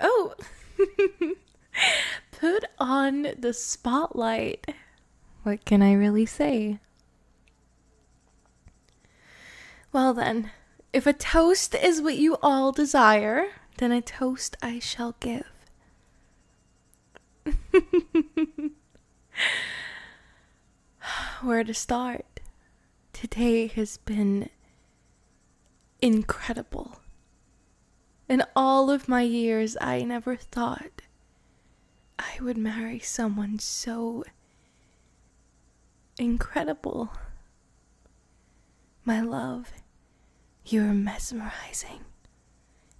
Oh! Put on the spotlight. What can I really say? Well, then, if a toast is what you all desire, then a toast I shall give. Where to start? Today has been incredible. In all of my years, I never thought I would marry someone so incredible. My love, you're mesmerizing.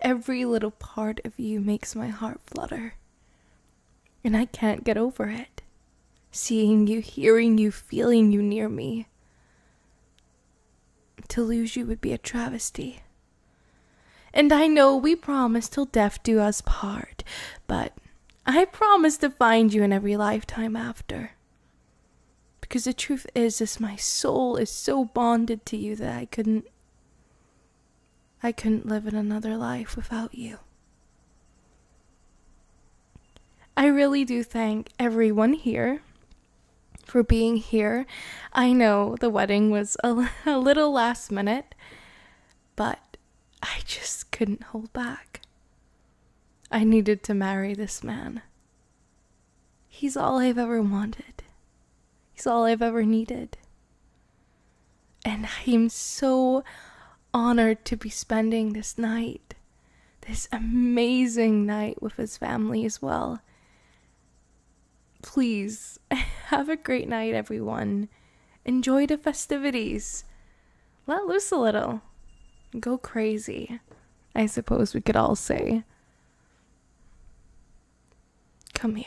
Every little part of you makes my heart flutter and I can't get over it. Seeing you, hearing you, feeling you near me. To lose you would be a travesty. And I know we promised till death do us part, but I promise to find you in every lifetime after. Because the truth is, this my soul is so bonded to you that I couldn't. I couldn't live in another life without you. I really do thank everyone here for being here. I know the wedding was a, little last minute, but I just couldn't hold back. I needed to marry this man. He's all I've ever wanted. He's all I've ever needed. And I'm so honored to be spending this night, this amazing night with his family as well. Please have a great night, everyone. Enjoy the festivities. Let loose a little. Go crazy, I suppose we could all say. Come here.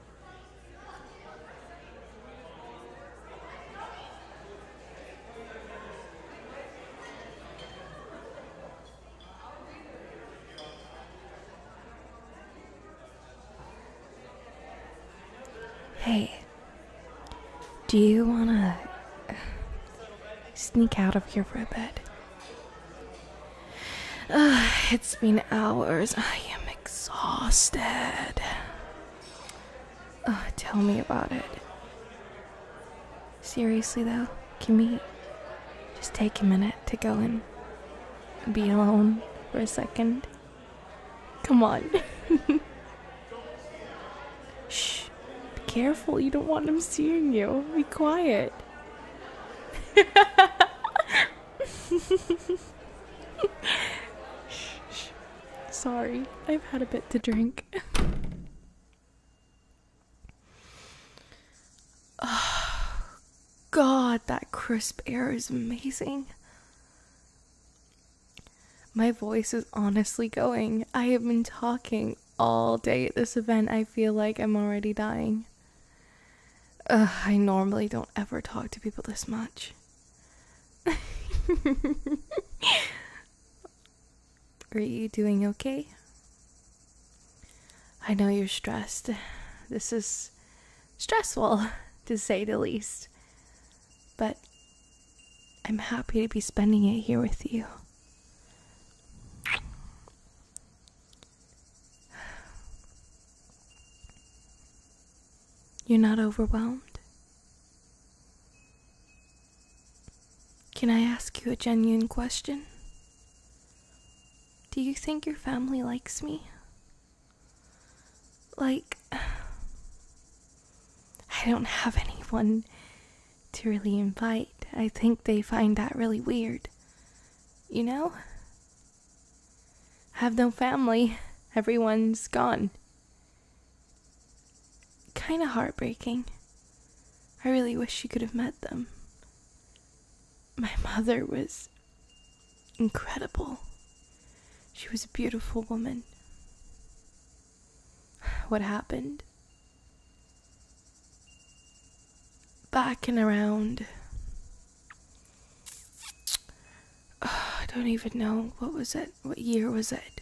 Hey, do you want to sneak out of your for a it's been hours. I am exhausted. tell me about it. Seriously, though, can we just take a minute to go and be alone for a second? Come on. Shh. Be careful. You don't want them seeing you. Be quiet. Sorry, I've had a bit to drink. oh, God, that crisp air is amazing. My voice is honestly going. I have been talking all day at this event. I feel like I'm already dying. I normally don't ever talk to people this much. Are you doing okay? I know you're stressed. This is stressful, to say the least. But I'm happy to be spending it here with you. You're not overwhelmed? Can I ask you a genuine question? Do you think your family likes me? Like, I don't have anyone to really invite. I think they find that really weird. You know? I have no family. Everyone's gone. Kind of heartbreaking. I really wish you could have met them. My mother was incredible. She was a beautiful woman. What happened? Back and around I don't even know what was it. What year was it?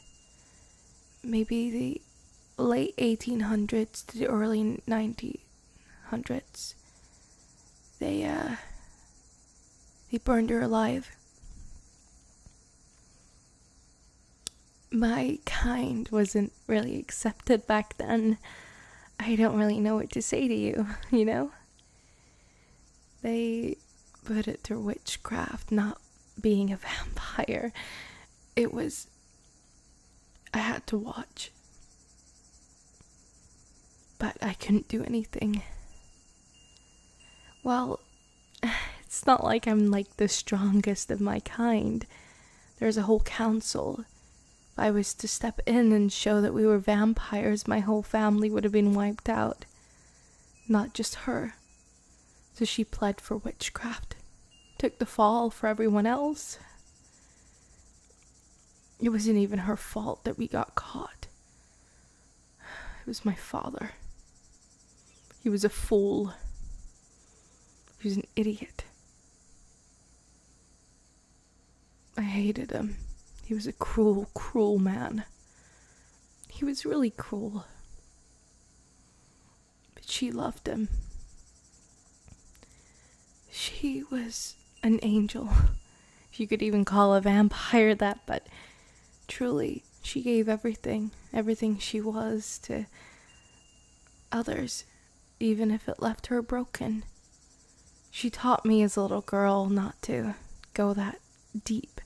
Maybe the late 1800s to the early 1900s. They uh they burned her alive. My kind wasn't really accepted back then. I don't really know what to say to you, you know? They put it through witchcraft, not being a vampire. It was. I had to watch. But I couldn't do anything. Well, it's not like I'm like the strongest of my kind. There's a whole council. If I was to step in and show that we were vampires, my whole family would have been wiped out. Not just her. So she pled for witchcraft, took the fall for everyone else. It wasn't even her fault that we got caught. It was my father. He was a fool. He was an idiot. I hated him. He was a cruel, cruel man. He was really cruel. But she loved him. She was an angel. if You could even call a vampire that, but truly, she gave everything, everything she was to others, even if it left her broken. She taught me as a little girl not to go that deep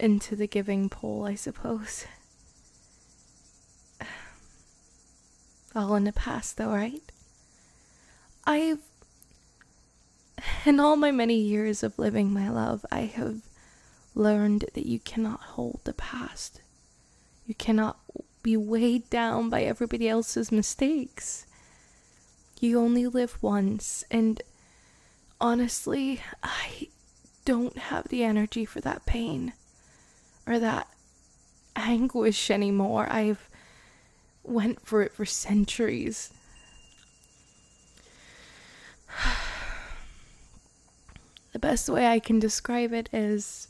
into the giving pole, I suppose. All in the past, though, right? I've. In all my many years of living my love, I have learned that you cannot hold the past. You cannot be weighed down by everybody else's mistakes. You only live once, and honestly, I don't have the energy for that pain or that anguish anymore. I've went for it for centuries. the best way I can describe it is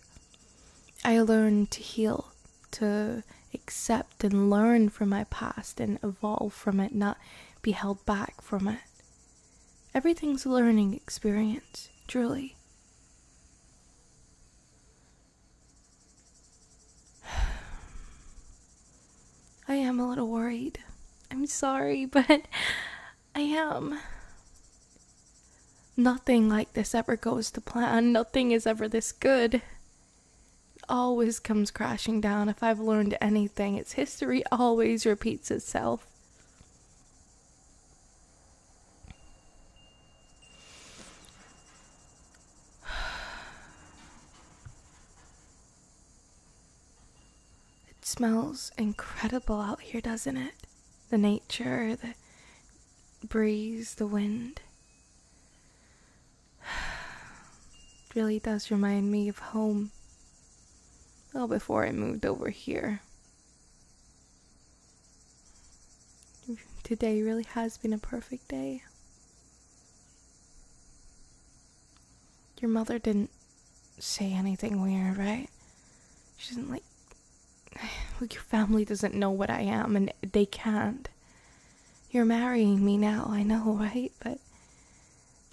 I learned to heal to accept and learn from my past and evolve from it, not be held back from it. Everything's a learning experience, truly. I am a little worried. I'm sorry, but I am. Nothing like this ever goes to plan. Nothing is ever this good. It always comes crashing down. If I've learned anything, its history always repeats itself. It smells incredible out here, doesn't it? The nature, the breeze, the wind. really does remind me of home. Well, before I moved over here. Today really has been a perfect day. Your mother didn't say anything weird, right? She didn't like your family doesn't know what I am, and they can't. You're marrying me now, I know, right? But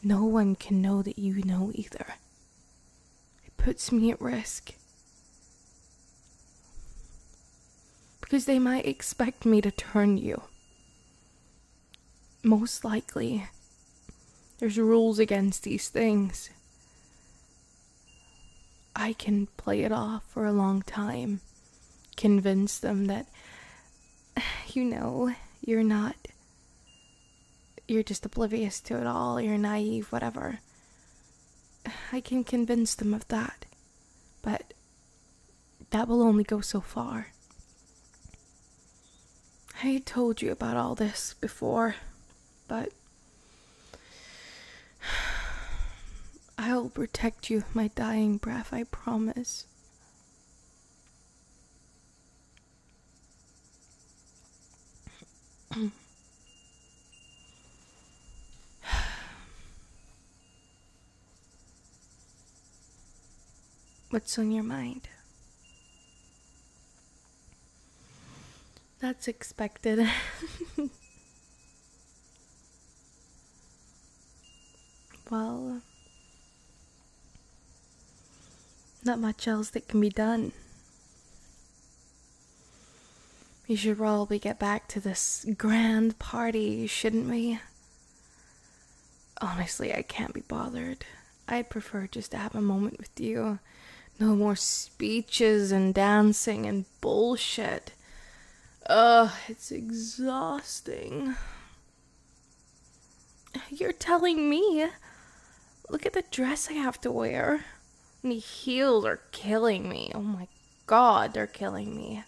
no one can know that you know either. It puts me at risk. Because they might expect me to turn you. Most likely. There's rules against these things. I can play it off for a long time, convince them that, you know, you're not. You're just oblivious to it all, you're naive, whatever. I can convince them of that, but that will only go so far. I told you about all this before, but I will protect you with my dying breath, I promise. What's on your mind? That's expected. Well, not much else that can be done. We should probably get back to this grand party, shouldn't we? Honestly, I can't be bothered. I'd prefer just to have a moment with you. No more speeches and dancing and bullshit. Ugh, it's exhausting. You're telling me? Look at the dress I have to wear. And heels are killing me. Oh my god, they're killing me.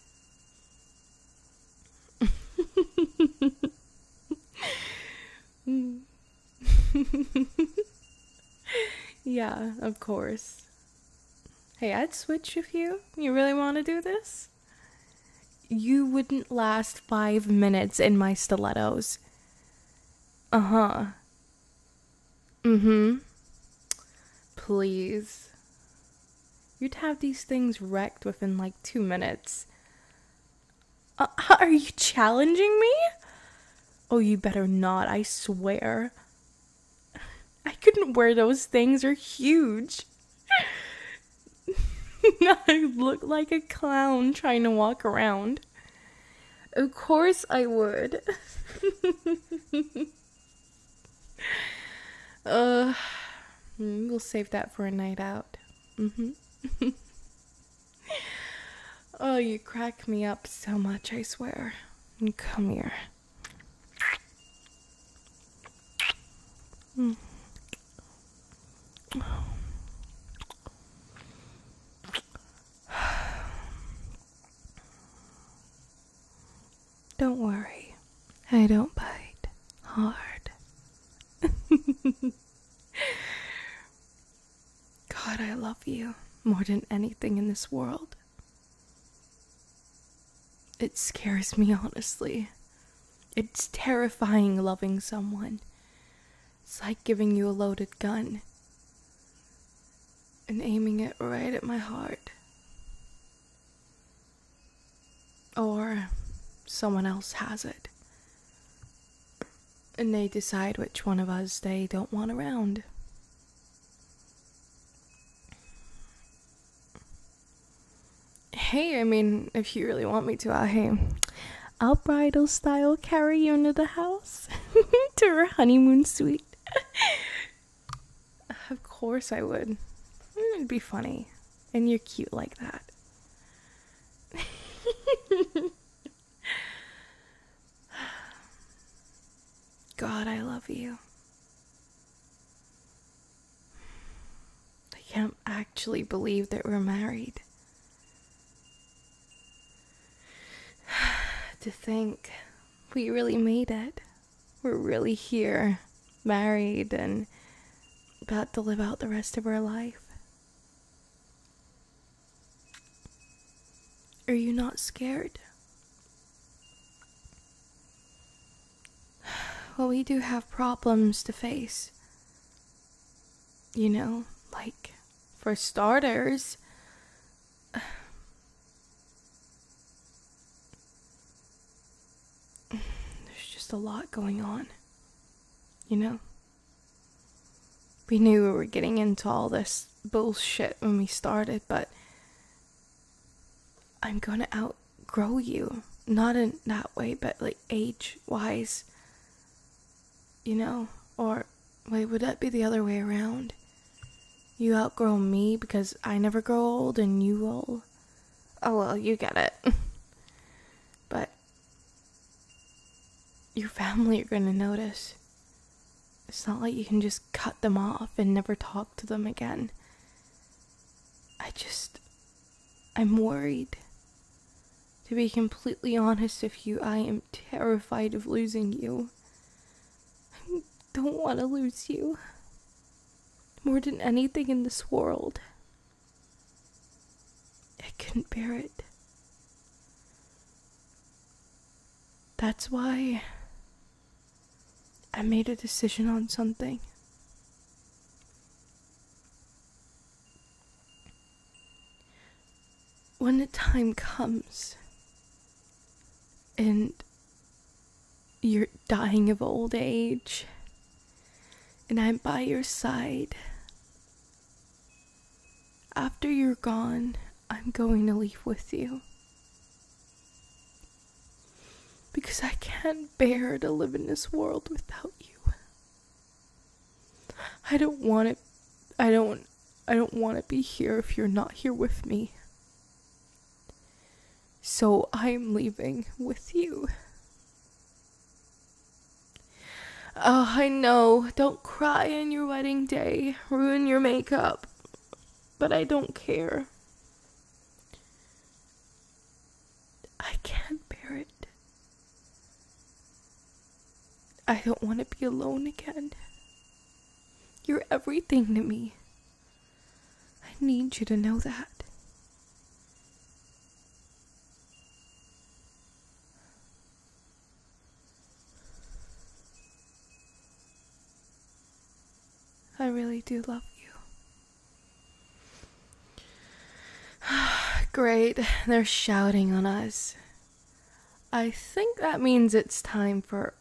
yeah, of course. Hey, I'd switch if you. You really want to do this? You wouldn't last five minutes in my stilettos. Uh huh. Mm hmm. Please. You'd have these things wrecked within like two minutes. Uh, are you challenging me? Oh, you better not, I swear. I couldn't wear those things, they're huge. I look like a clown trying to walk around. Of course I would. uh, hmm, we'll save that for a night out. Mm-hmm. Oh, you crack me up so much, I swear. And come here. Hmm. Don't worry, I don't bite hard. God, I love you more than anything in this world. It scares me, honestly. It's terrifying loving someone. It's like giving you a loaded gun and aiming it right at my heart. Or someone else has it. And they decide which one of us they don't want around. Hey, I mean, if you really want me to, I'll, hey, I'll bridal style carry you into the house to her honeymoon suite. of course I would. Mm, it'd be funny. And you're cute like that. God, I love you. I can't actually believe that we're married. to think we really made it. We're really here, married, and about to live out the rest of our life. Are you not scared? Well, we do have problems to face. You know, like, for starters, there's just a lot going on. You know? We knew we were getting into all this bullshit when we started, but I'm gonna outgrow you. Not in that way, but like age wise, you know? Or, wait, would that be the other way around? You outgrow me because I never grow old and you will. Oh well, you get it. but your family are gonna notice. It's not like you can just cut them off and never talk to them again. I just. I'm worried. To be completely honest with you, I am terrified of losing you. I don't want to lose you. More than anything in this world. I couldn't bear it. That's why I made a decision on something. When the time comes and you're dying of old age and I'm by your side, after you're gone, I'm going to leave with you. Because I can't bear to live in this world without you. I don't want it. I don't. I don't want to be here if you're not here with me. So I'm leaving with you. Oh, I know. Don't cry on your wedding day. Ruin your makeup. But I don't care. I can't bear it. I don't want to be alone again. You're everything to me. I need you to know that. I really do love you. Great, they're shouting on us. I think that means it's time for.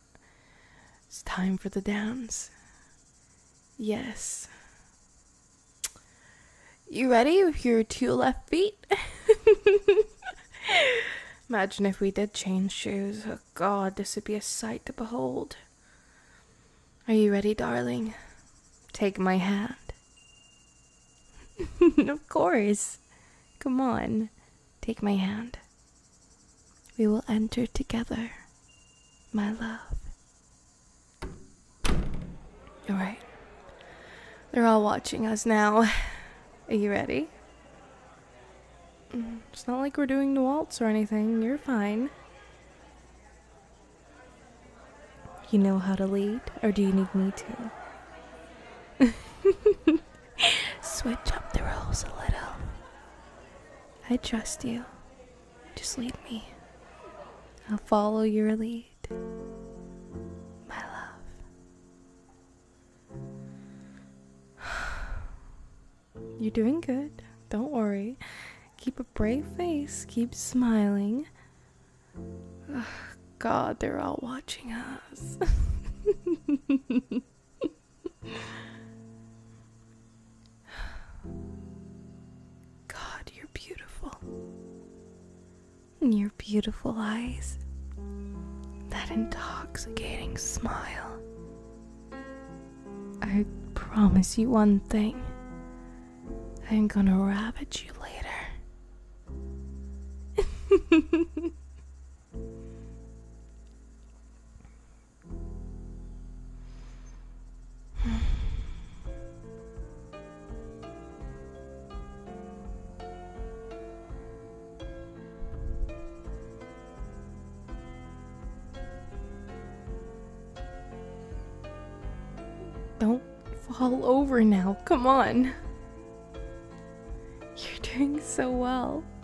It's time for the dance. Yes. You ready with your two left feet? Imagine if we did change shoes. Oh god, this would be a sight to behold. Are you ready, darling? Take my hand. of course. Come on. Take my hand. We will enter together, my love. Alright. They're all watching us now. Are you ready? Mm-hmm. It's not like we're doing the waltz or anything. You're fine. You know how to lead, or do you need me to? Switch up the roles a little. I trust you. Just lead me. I'll follow your lead. My love. You're doing good. Don't worry. Keep a brave face. Keep smiling. God, they're all watching us. God, you're beautiful and your beautiful eyes, that intoxicating smile. I promise you one thing I'm gonna ravage you later. Don't fall over now, come on. You're doing so well.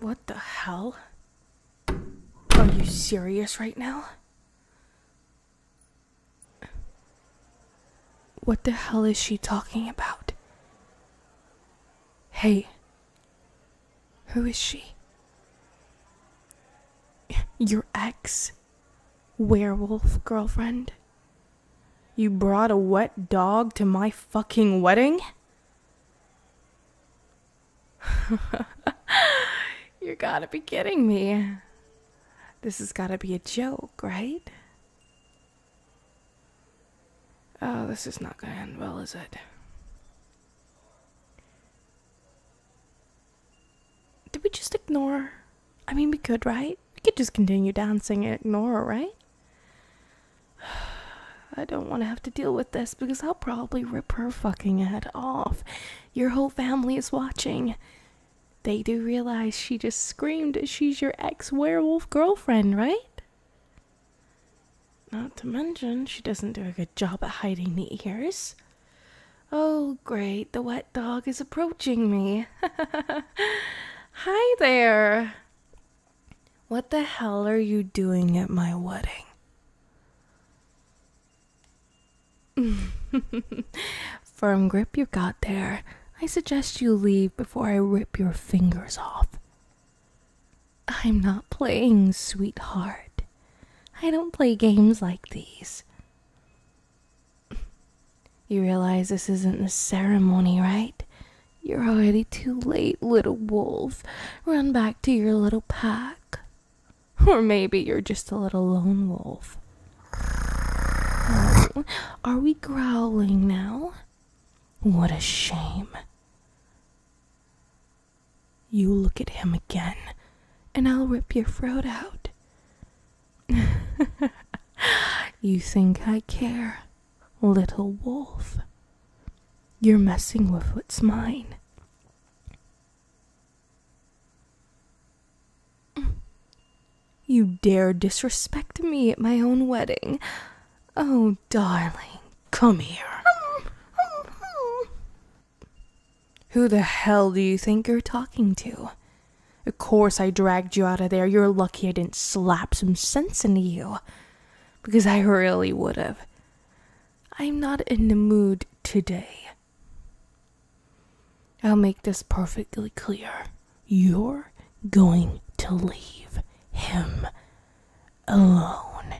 What the hell? Are you serious right now? What the hell is she talking about? Hey, who is she? Your ex? Werewolf girlfriend? You brought a wet dog to my fucking wedding? you gotta be kidding me. This has gotta be a joke, right? Oh, this is not gonna end well, is it? Did we just ignore I mean, we could, right? We could just continue dancing and ignore her, right? I don't want to have to deal with this because I'll probably rip her fucking head off. Your whole family is watching. They do realize she just screamed she's your ex werewolf girlfriend, right? Not to mention, she doesn't do a good job at hiding the ears. Oh, great, the wet dog is approaching me. Hi there. What the hell are you doing at my wedding? Firm grip you got there. I suggest you leave before I rip your fingers off. I'm not playing, sweetheart. I don't play games like these. You realize this isn't the ceremony, right? You're already too late, little wolf. Run back to your little pack. Or maybe you're just a little lone wolf. Oh, are we growling now? What a shame. You look at him again, and I'll rip your throat out. you think I care, little wolf? You're messing with what's mine. Mm. You dare disrespect me at my own wedding. Oh, darling, come here. Who the hell do you think you're talking to? Of course, I dragged you out of there. You're lucky I didn't slap some sense into you. Because I really would have. I'm not in the mood today. I'll make this perfectly clear. You're going to leave him alone.